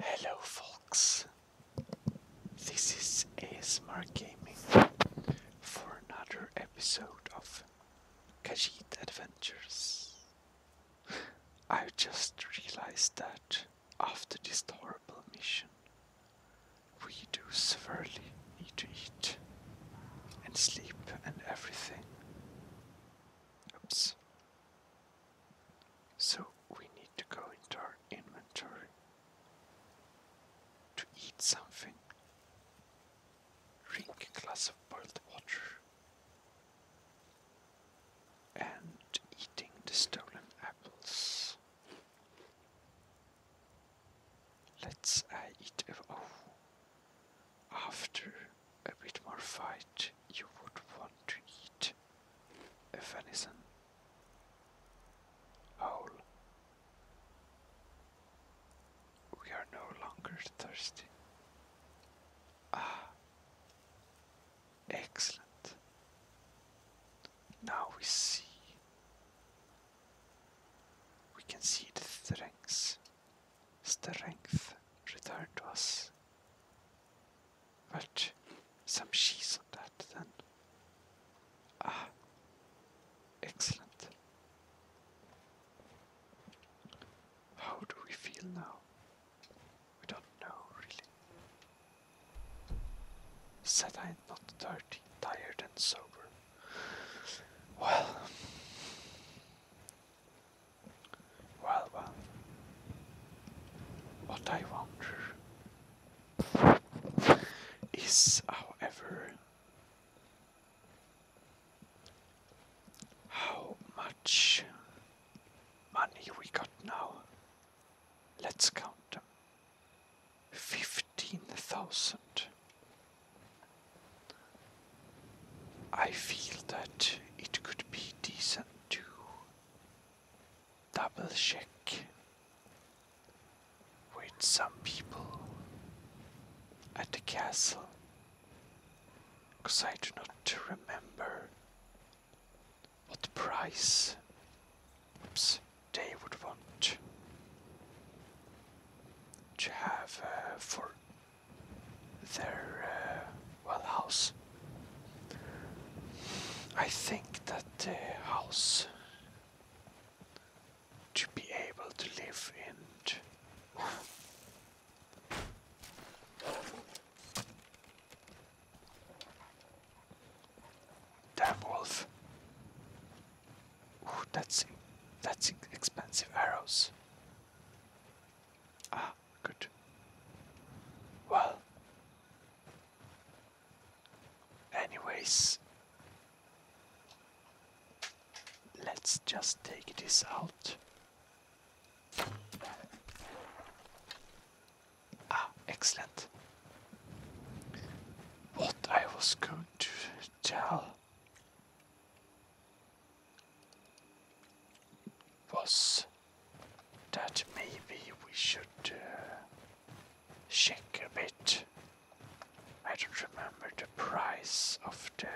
Hello folks, this is ASMR Gaming for another episode of Kajit Adventures. I just realized that after this horrible mission, we do severely need to eat and sleep and everything. Oops, so we need to go into our inventory to eat something. Drink a glass of boiled water. And eating the stolen apples. Let's uh, eat. Oh, after a bit more fight, you would want to eat a venison whole. We are no longer thirsty. Ah, excellent. Now we see. We can see the strength. strength return to us. But some cheese on that then. Ah, excellent. How do we feel now? We don't know really. Said I not dirty, tired, and sober. Well, well, well. What I wonder is, however, how much money we got now. Let's count them. Fifteen thousand. I feel that it could be decent to double check with some people at the castle because I do not remember what price oops, they would want to have uh, for their uh, well house. I think that the house to be able to live in Damn wolf. Ooh, that's that's expensive arrows. Ah, good. Well, anyways, let's just take this out. Ah, excellent. What I was going to tell was that maybe we should uh, check a bit. I don't remember the price of the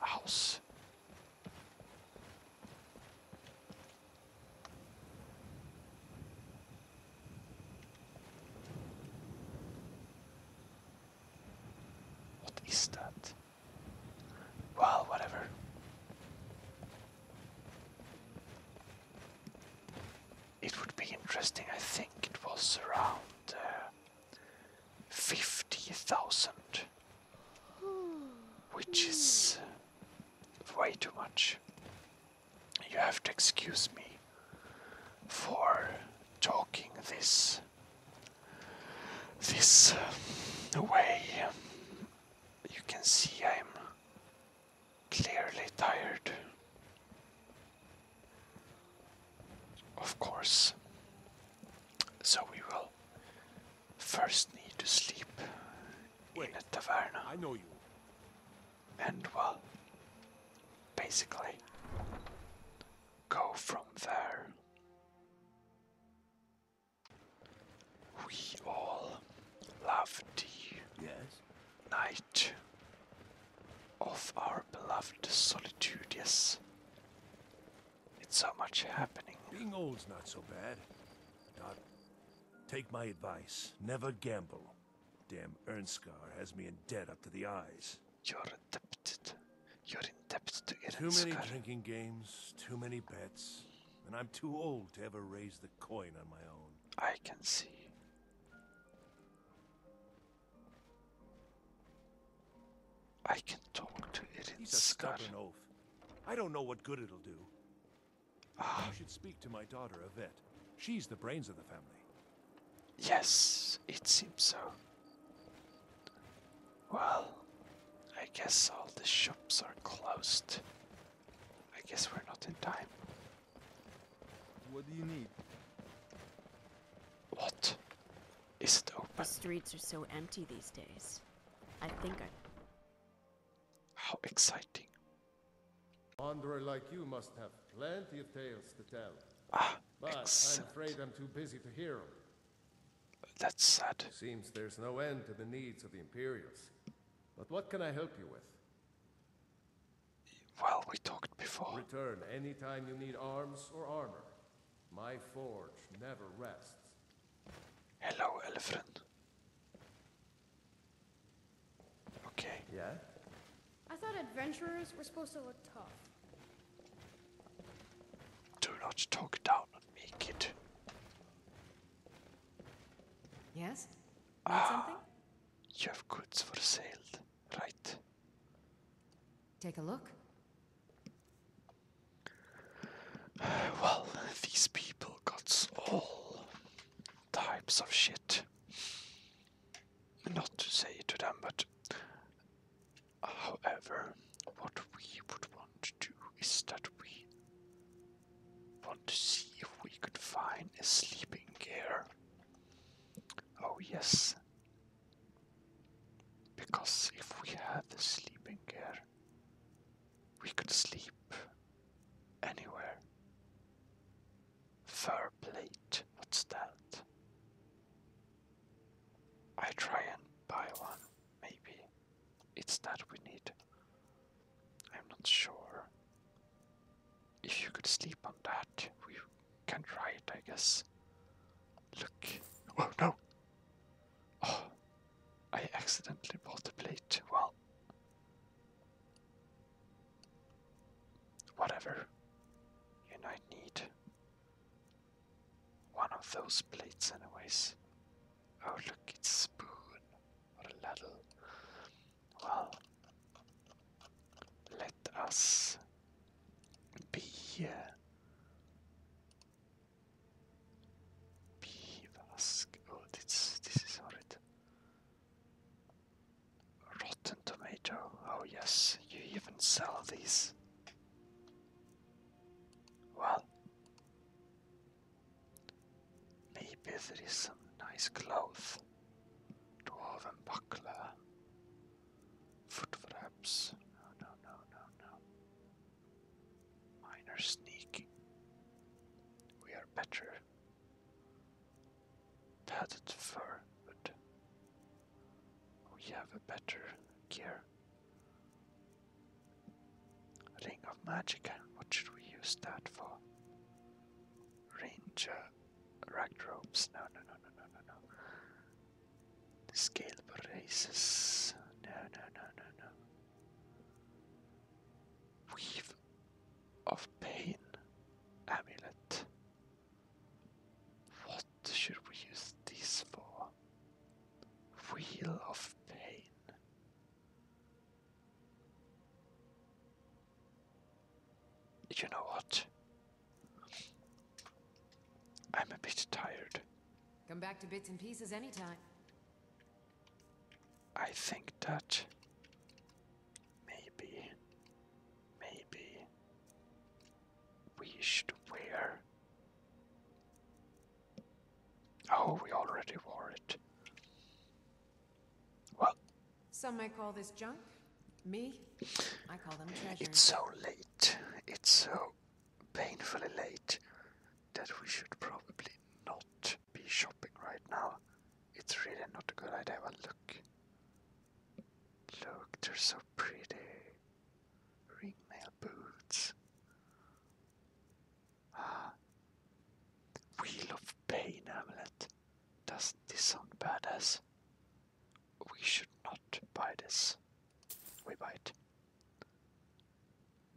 house. What is that? Well, whatever. It would be interesting, I think it was around uh, 50,000, which is uh, way too much. You have to excuse me for talking this this uh, way. You can see I'm clearly tired. Of course. So we will first need to sleep Wait, in a taverna. I know you. And will basically, go from there. We all love thee. Yes. Night of our beloved solitude, yes. It's so much happening. Being old's not so bad. Take my advice. Never gamble. Damn Ernskar has me in debt up to the eyes. You're adapted. You're in debt to Eren Too many drinking games, too many bets, and I'm too old to ever raise the coin on my own. I can see. I can talk to Eren He's Scar. a stubborn oaf. I don't know what good it'll do. Ah. You should speak to my daughter, Yvette. She's the brains of the family. Yes, it seems so. Well, I guess all the shops are closed. I guess we're not in time. What do you need? What? Is it open? The streets are so empty these days. I think I. How exciting. Wanderer like you must have plenty of tales to tell. Ah, but I'm afraid I'm too busy to hear them. That's sad. Seems there's no end to the needs of the Imperials. But what can I help you with? Well, we talked before. Return anytime you need arms or armor. My forge never rests. Hello, elephant. Okay. Yeah? I thought adventurers were supposed to look tough. Do not talk down make it. Yes? ah, You have goods for sale, right? Take a look. Well, these people got all types of shit. Not to say to them, but However, what we would want to do is that we want to see if we could find a sleeping gear. Oh, yes. Because if we had the sleeping gear, we could sleep anywhere. Fur plate, what's that? I try and buy one. Maybe it's that we need. I'm not sure. If you could sleep on that, we can try it, I guess. Look. Oh no! Oh, I accidentally broke the plate. Well, whatever. You might need one of those plates, anyways. Oh, look, it's spoon or a ladle. Well, let us be here. Beavask. Oh, this, this is horrid. Rotten tomato. Oh, yes, you even sell these. Well, maybe there is some nice clothes, dwarven buckler, foot wraps. No, no, no, no, no. Minor sneaking. We are better. Padded fur, but we have a better gear. Ring of Magic. What should we use that for? Ranger. Ragged no, no, no, no, no, no. Scale braces. No, no, no, no, no. Weave of Pain Amulet. What should we use this for? Wheel of Pain. You know what? I'm a bit tired. Come back to bits and pieces anytime. I think that maybe, maybe we should wear. Oh, we already wore it. Well. Some may call this junk. Me? I call them treasures. It's so late. It's so painfully late that we should probably not be shopping right now. It's really not a good idea. But look. Look, they're so pretty. Ringmail boots. Ah. Wheel of Pain amulet. does this sound badass? We should not buy this. We buy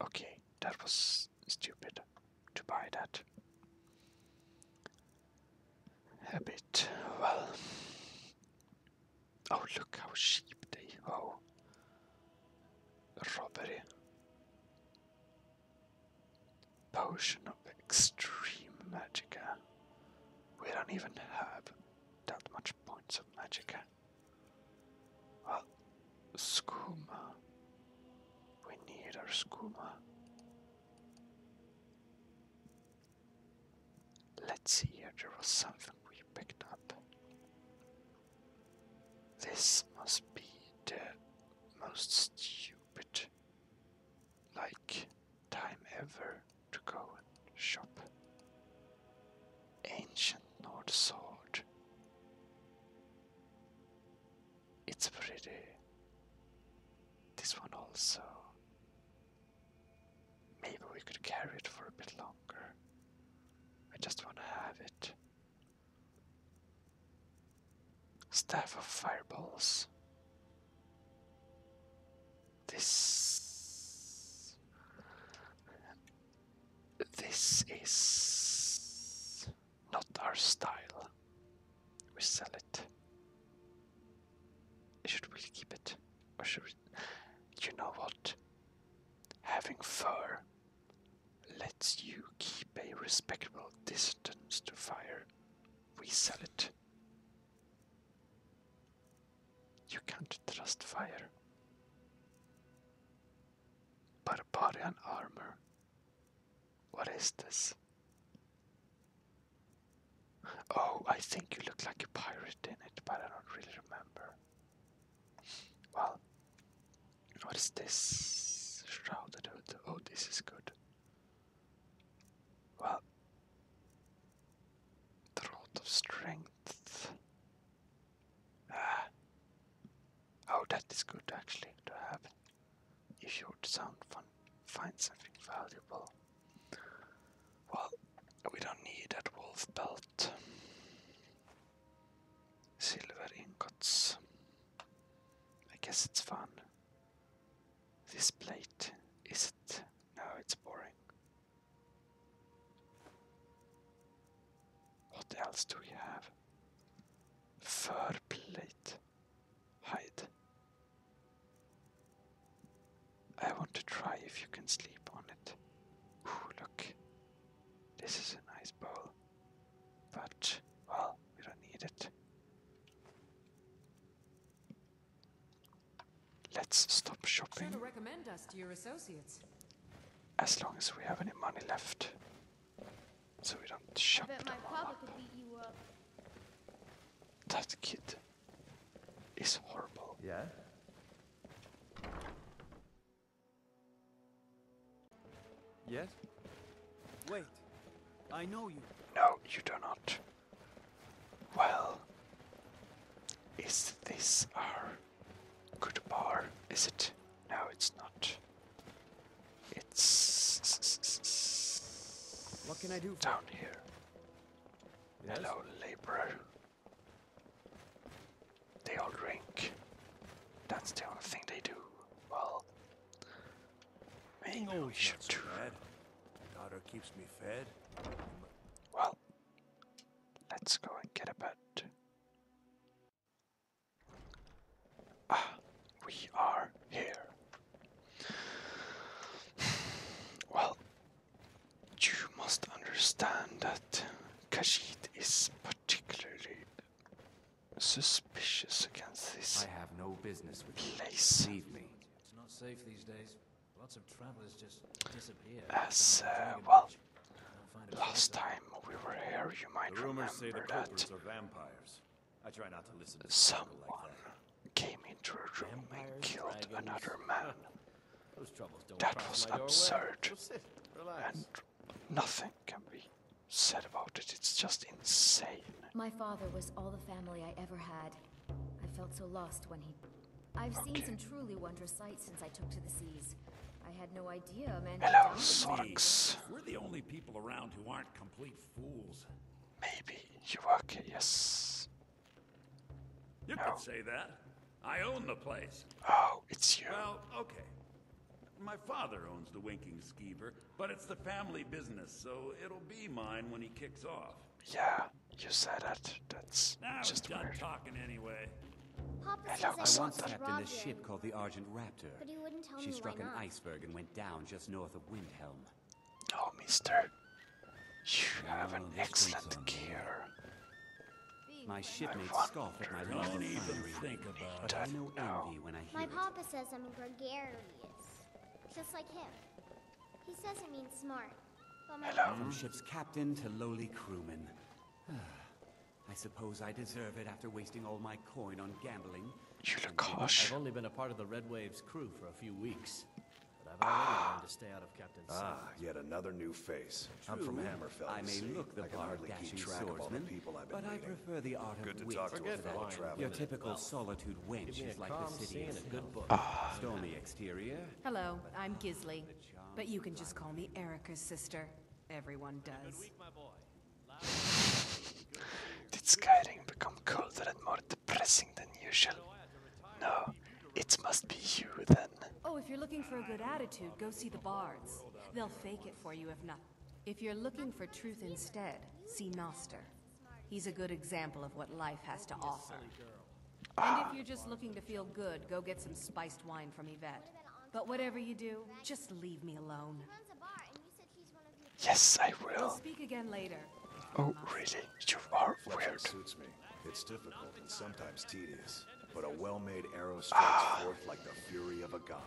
Okay, that was stupid to buy that. A bit. Well, Oh, look how cheap they are. Robbery. Potion of extreme magicka. We don't even have that much points of magicka. Well, skooma. We need our skooma. Let's see here, there was something we picked up. This must be the most stupid, like, time ever to go and shop. Ancient Nord sword. It's pretty. This one also. Maybe we could carry it for a bit longer. I just want to have it. Staff of fireballs. This. This is not our style. We sell it. Should we keep it? Or should we. You know what? Having fur lets you keep a respectable distance to fire. We sell it. You can't trust fire. Barbarian armor. What is this? Oh, I think you look like a pirate in it, but I don't really remember. Well, what is this? Shrouded hood. Oh, this is good. Well, Throat of Strength. Ah. Oh, that is good actually to have. If your sound fun, find something valuable. Well, we don't need that wolf belt. Silver ingots. I guess it's fun. This plate, is it? No, it's boring. What else do we have? Fur plate. Hide. I want to try if you can sleep on it. Ooh, look. This is a nice bowl. But, well, we don't need it. Let's stop shopping. As long as we have any money left. So we don't shop. I up. That kid it's horrible. Yeah. Yes? Wait. I know you. No, you do not. Well, is this our good bar? Is it? No, it's not. It's. What can I do? Down here. Hello, laborer. They all drink. That's the only thing they do. Well, I no, we should so Daughter keeps me fed. Well, let's go and get a bed. Ah, we are here. well, you must understand that Khajiit is particularly suspicious against this. I have no business with you. Leave me. It's not safe these days. Lots of travelers just disappear. As uh, well, last time we were here, you might the rumors remember that vampires. I try not to listen to someone like came into a room and killed another man that was absurd. And nothing can be said about it. It's just insane. My father was all the family I ever had. I felt so lost when he... I've seen some truly wondrous sights since I took to the seas. I had no idea a man... Hello, Sorks. We're the only people around who aren't complete fools. Maybe. You okay, yes. You oh. could say that. I own the place. Oh, it's you. Well, okay. My father owns the Winking Skeever, but it's the family business, so it'll be mine when he kicks off. Yeah, you said it. That's just done weird. talking anyway. I once trapped in a ship called the Argent Raptor. But he wouldn't tell she struck an iceberg and went down just north of Windhelm. Oh, mister. You have an excellent gear. My shipmates scoff at my lack of think about it. I know envy when I hear My papa says I'm gregarious, just like him. He says it means smart, but my Hello? ship's captain to lowly crewman. I suppose I deserve it after wasting all my coin on gambling. You are a harsh. I've only been a part of the Red Wave's crew for a few weeks ah. Ah, yet another new face. I'm from Hammerfell. I may look the I can hardly keep track of all the people I've been But meeting. I prefer the art good of to talk to a fellow traveler. Your typical solitude wench is like the city in a good book. Ah. Stormy exterior. Hello, I'm Gizli. But you can just call me Erica's sister. Everyone does. Did skating become colder and more depressing than usual? No, it must be you then. Oh, if you're looking for a good attitude, go see the bards. They'll fake it for you if not. If you're looking for truth instead, see Noster. He's a good example of what life has to offer. And if you're just looking to feel good, go get some spiced wine from Yvette. But whatever you do, just leave me alone. Yes, I will. We'll speak again later. Oh, really? You are weird. It's difficult and sometimes tedious, but a well-made arrow strikes ah. forth like the fury of a god.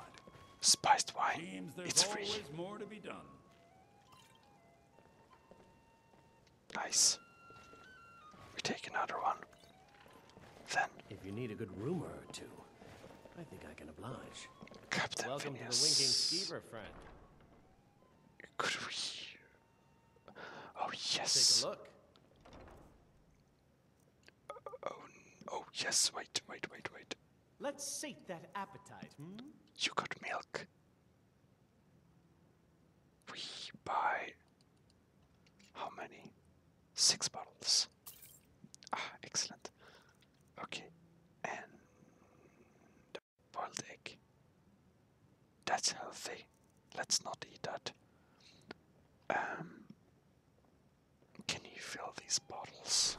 Spiced wine. It's free. Nice. We take another one. Then. If you need a good rumor or two, I think I can oblige. Captain Welcome to the winking skeever, friend. Could we Oh yes. look. oh, oh yes. Wait, wait, wait, wait. Let's sate that appetite. Hmm? You got milk. We buy how many? Six bottles. Ah, excellent. Okay, and boiled egg. That's healthy. Let's not eat that. Um, can you fill these bottles?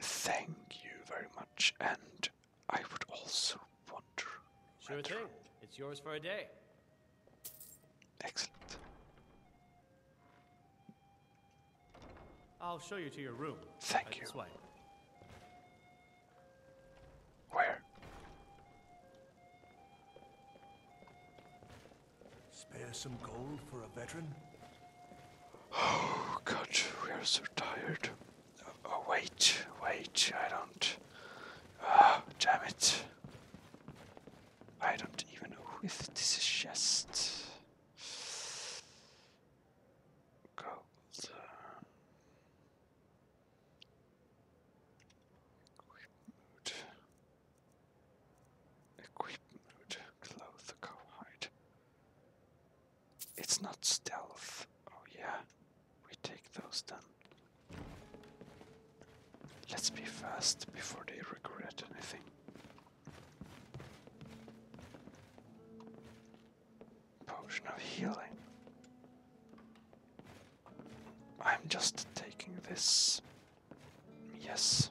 Thank you very much, and I would also wonder. Sure thing. It's yours for a day. Excellent. I'll show you to your room. Thank uh, you. Where? Spare some gold for a veteran? Oh, God, we are so tired. Oh, oh, wait, wait, I don't. Ah, damn it. I don't even know if this is chest goes. Uh, equip mood. Equip mood. It's not stealth. Oh yeah, we take those then. Let's be fast before they regret anything. Potion of healing. I'm just taking this. Yes.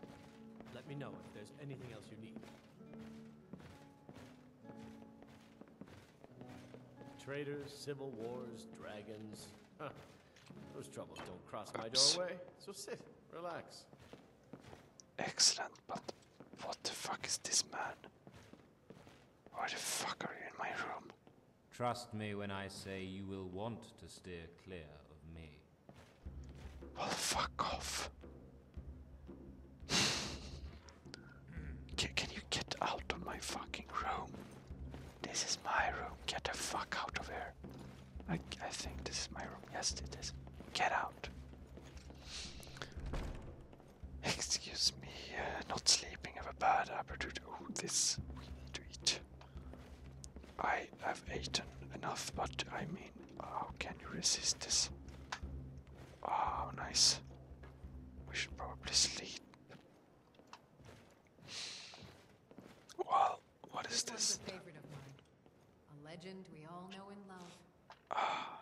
Let me know if there's anything else you need. Traitors, civil wars, dragons. Those troubles don't cross my doorway. So sit, relax. Excellent, but what the fuck is this man? Why the fuck are you in my room? Trust me when I say you will want to steer clear of me. Well, fuck off. can, you get out of my fucking room? This is my room. Get the fuck out of here. I, I think this is my room. Yes, it is. Get out. Excuse me, uh, not sleeping, have a bad appetite. Oh, this we need to eat. I have eaten enough, but I mean, how can you resist this? Oh, nice. We should probably sleep. Well, what is this? A, a legend we all know and love. Ah.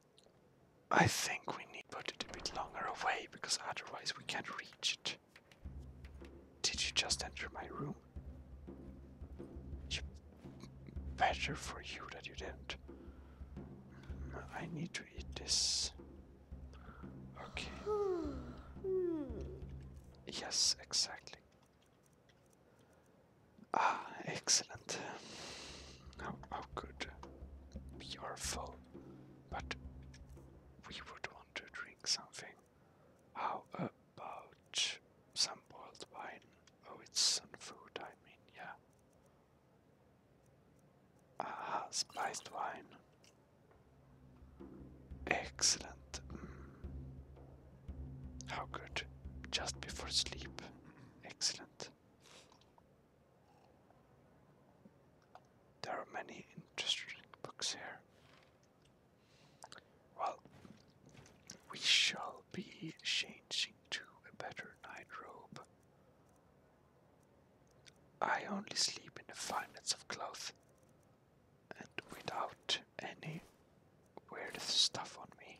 I think we need to put it a bit longer away because otherwise we can't reach it. Did you just enter my room? It's better for you that you didn't. Mm, I need to eat this. Okay. Yes, exactly. Ah, excellent. How, how good. We but we would want to drink something. How about some boiled wine? Oh, it's some food, I mean, yeah. Ah, spiced wine. Excellent. Mm. How good. Just before sleep. Excellent. There are many interesting books here. Well, we shall be changing to a better night robe. I only sleep in the fineness of cloth and without any weird stuff on me.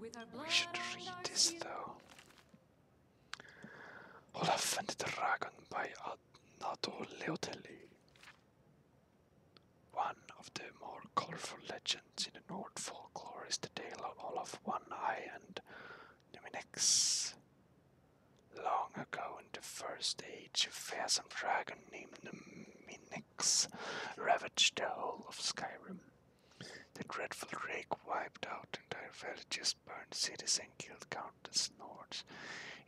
We should read this though. Olaf and the Dragon by Nato Leoteli. One of the more colorful legends in the Nord folklore is the tale of Olaf One Eye and Numinex. Long ago in the First Age, a fearsome dragon named Numinex ravaged the whole of Skyrim. The dreadful rake wiped out entire villages, burned cities, and killed countless lords.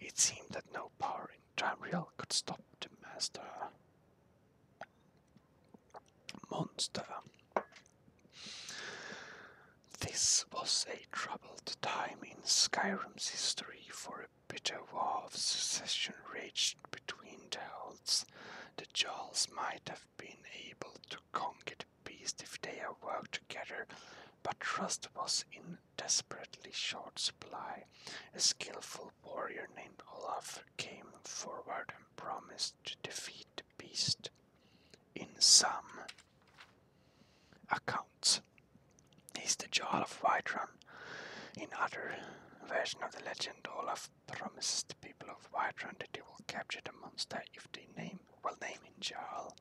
It seemed that no power in Tamriel could stop the master monster. This was a troubled time in Skyrim's history, for a bitter war of succession raged between the Holds. The Jarls might have been able to conquer the beast if they had worked together, but trust was in desperately short supply. A skillful warrior named Olaf came forward and promised to defeat the beast. In some accounts, he's the Jarl of Whiterun. In other version of the legend, Olaf promises the people of Whiterun that they will capture the monster if they name will name him Jarl.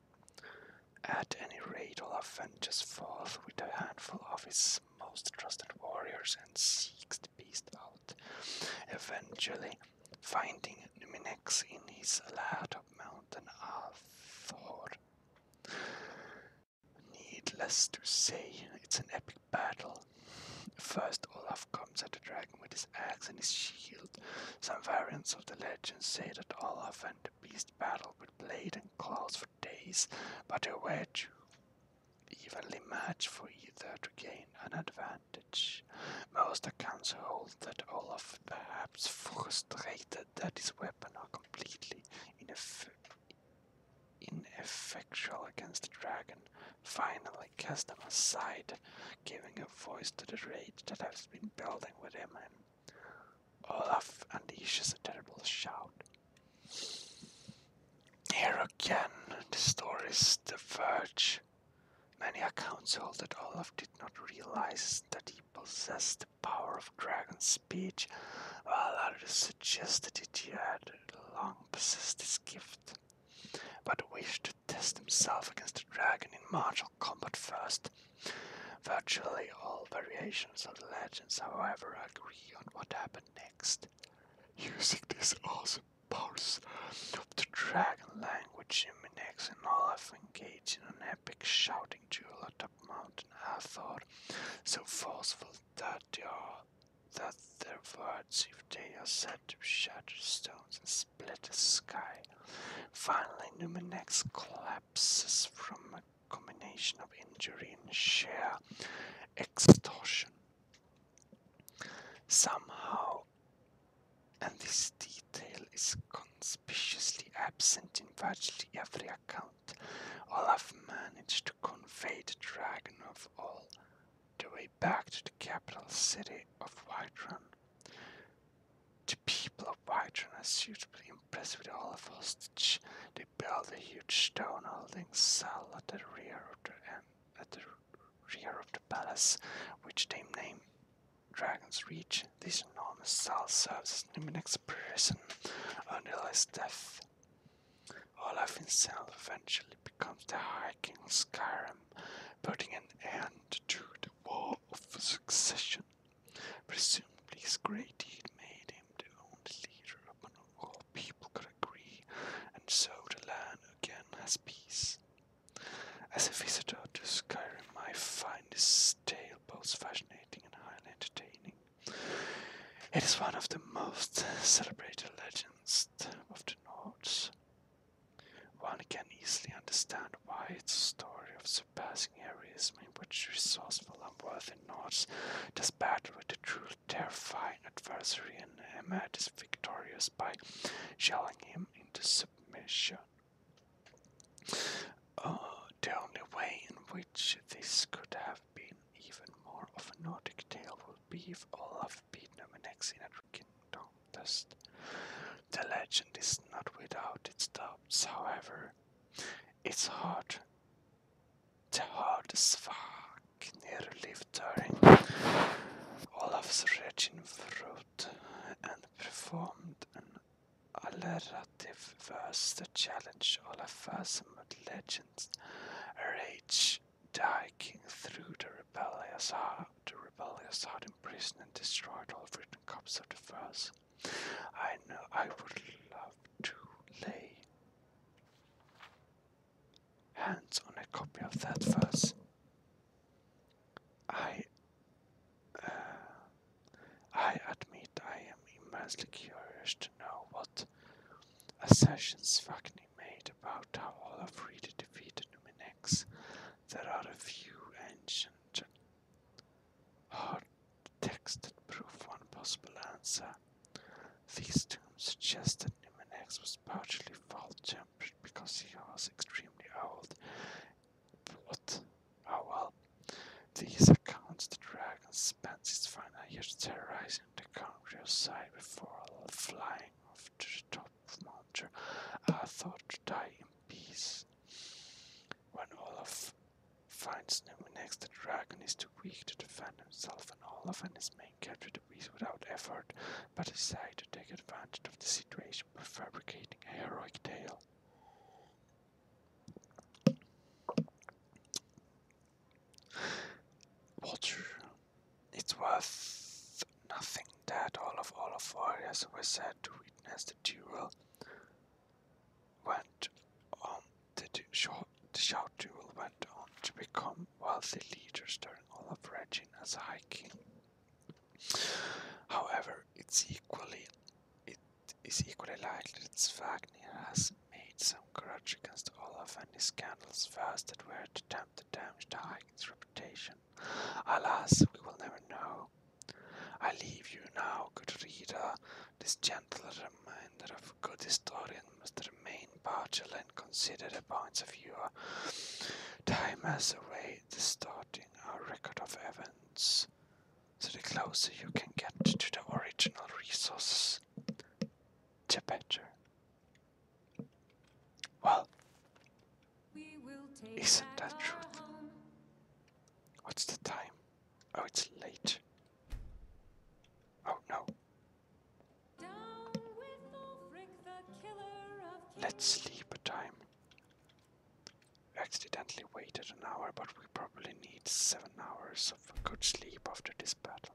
At any rate, Olaf ventures forth with a handful of his most trusted warriors and seeks the beast out, eventually finding Numinex in his lair of Mountain of Althor. Needless to say, it's an epic battle. First, Olaf comes at the dragon with his axe and his shield. Some variants of the legend say that Olaf and the beast battled with blade and claws for days, but they were too evenly matched for either to gain an advantage. Most accounts hold that Olaf, perhaps frustrated that his weapon are completely ineffective ineffectual against the dragon, finally cast him aside, giving a voice to the rage that has been building within him. Olaf unleashes a terrible shout. Here again, the stories diverge. Many accounts hold that Olaf did not realize that he possessed the power of dragon speech, while others suggest that he had long possessed this gift but wished to test himself against the dragon in martial combat first. Virtually all variations of the legends, however, agree on what happened next. Using these awesome powers of the dragon language, Jiminex and Olaf engage in an epic shouting duel atop Mountain Hathor, so forceful that you are that their words, if they are said to shatter stones and split the sky. Finally, Numenex collapses from a combination of injury and sheer extortion. Somehow, and this detail is conspicuously absent in virtually every account, Olaf managed to convey the dragon of all the way back to the capital city of Whiterun. The people of Whiterun are suitably impressed with Olaf hostage. They build a huge stone holding cell at the rear of the palace, which they name Dragon's Reach. This enormous cell serves as Niminek's prison until his death. Olaf himself eventually becomes the High King of Skyrim, putting an end to the War of Succession. Presumably his great deed made him the only leader upon whom all people could agree, and so the land again has peace. As a visitor to Skyrim, I find this tale both fascinating and highly entertaining. It is one of the most celebrated legends of the. One can easily understand why it's a story of surpassing heroism in which resourceful, and worthy Nords does battle with a truly terrifying adversary and Emmet is victorious by shelling him into submission. Uh, the only way in which this could have been even more of a Nordic tale would be if Olaf beat Numenex in a drinking contest. The legend is not without its doubts, however. It's hard. The hard Svaknir lived during Olaf's regime fruit and performed an alliterative verse that challenged Olaf's legends, rage, Dyking through the rebellious heart, the rebellious heart imprisoned and destroyed all written copies of the verse. I know I would love to lay hands on a copy of that verse. I, uh, I admit I am immensely curious to know what assertions Wagner made about how Olaf Reed defeated Numenex. There are a few ancient texts that prove one possible answer. These tombs suggest that Numenex was partially fault-tempered because he was extremely old. But, oh well. These accounts the dragon spends its final years terrorizing the country of before flying flying the top of mountain. I thought to die in peace. When Olaf finds Nemi next, the dragon is too weak to defend himself, and Olaf and his men capture the beast without effort, but decide to take advantage of the situation by fabricating a heroic tale. Water. It's worth nothing that all of all of warriors were said to witness the duel went on the, du the shout duel went on to become wealthy leaders during all of Regina's a high king. However, it's equally it is equally likely that Svagnir has made some grudge against Olaf and his scandalous vows that were to attempt to damage the Viking's reputation. Alas, we will never know. I leave you now, good reader. This gentle reminder of a good historian must remain partial and consider the points of view. Time has a way distorting our record of events. So the closer you can get to the original resources, the better. Well, isn't that true? What's the time? Oh, it's late. Oh no. Let's sleep a time. accidentally waited an hour, but we probably need seven hours of good sleep after this battle.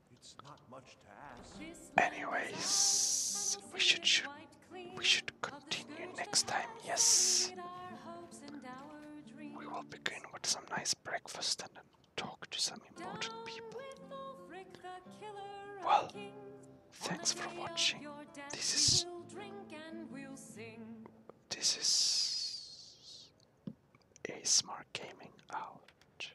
It's not much to ask. Anyways, we should, should we should continue next time. Yes. We will begin with some nice breakfast and then talk to some important people. Well, thanks for watching. This is this is a smart gaming out.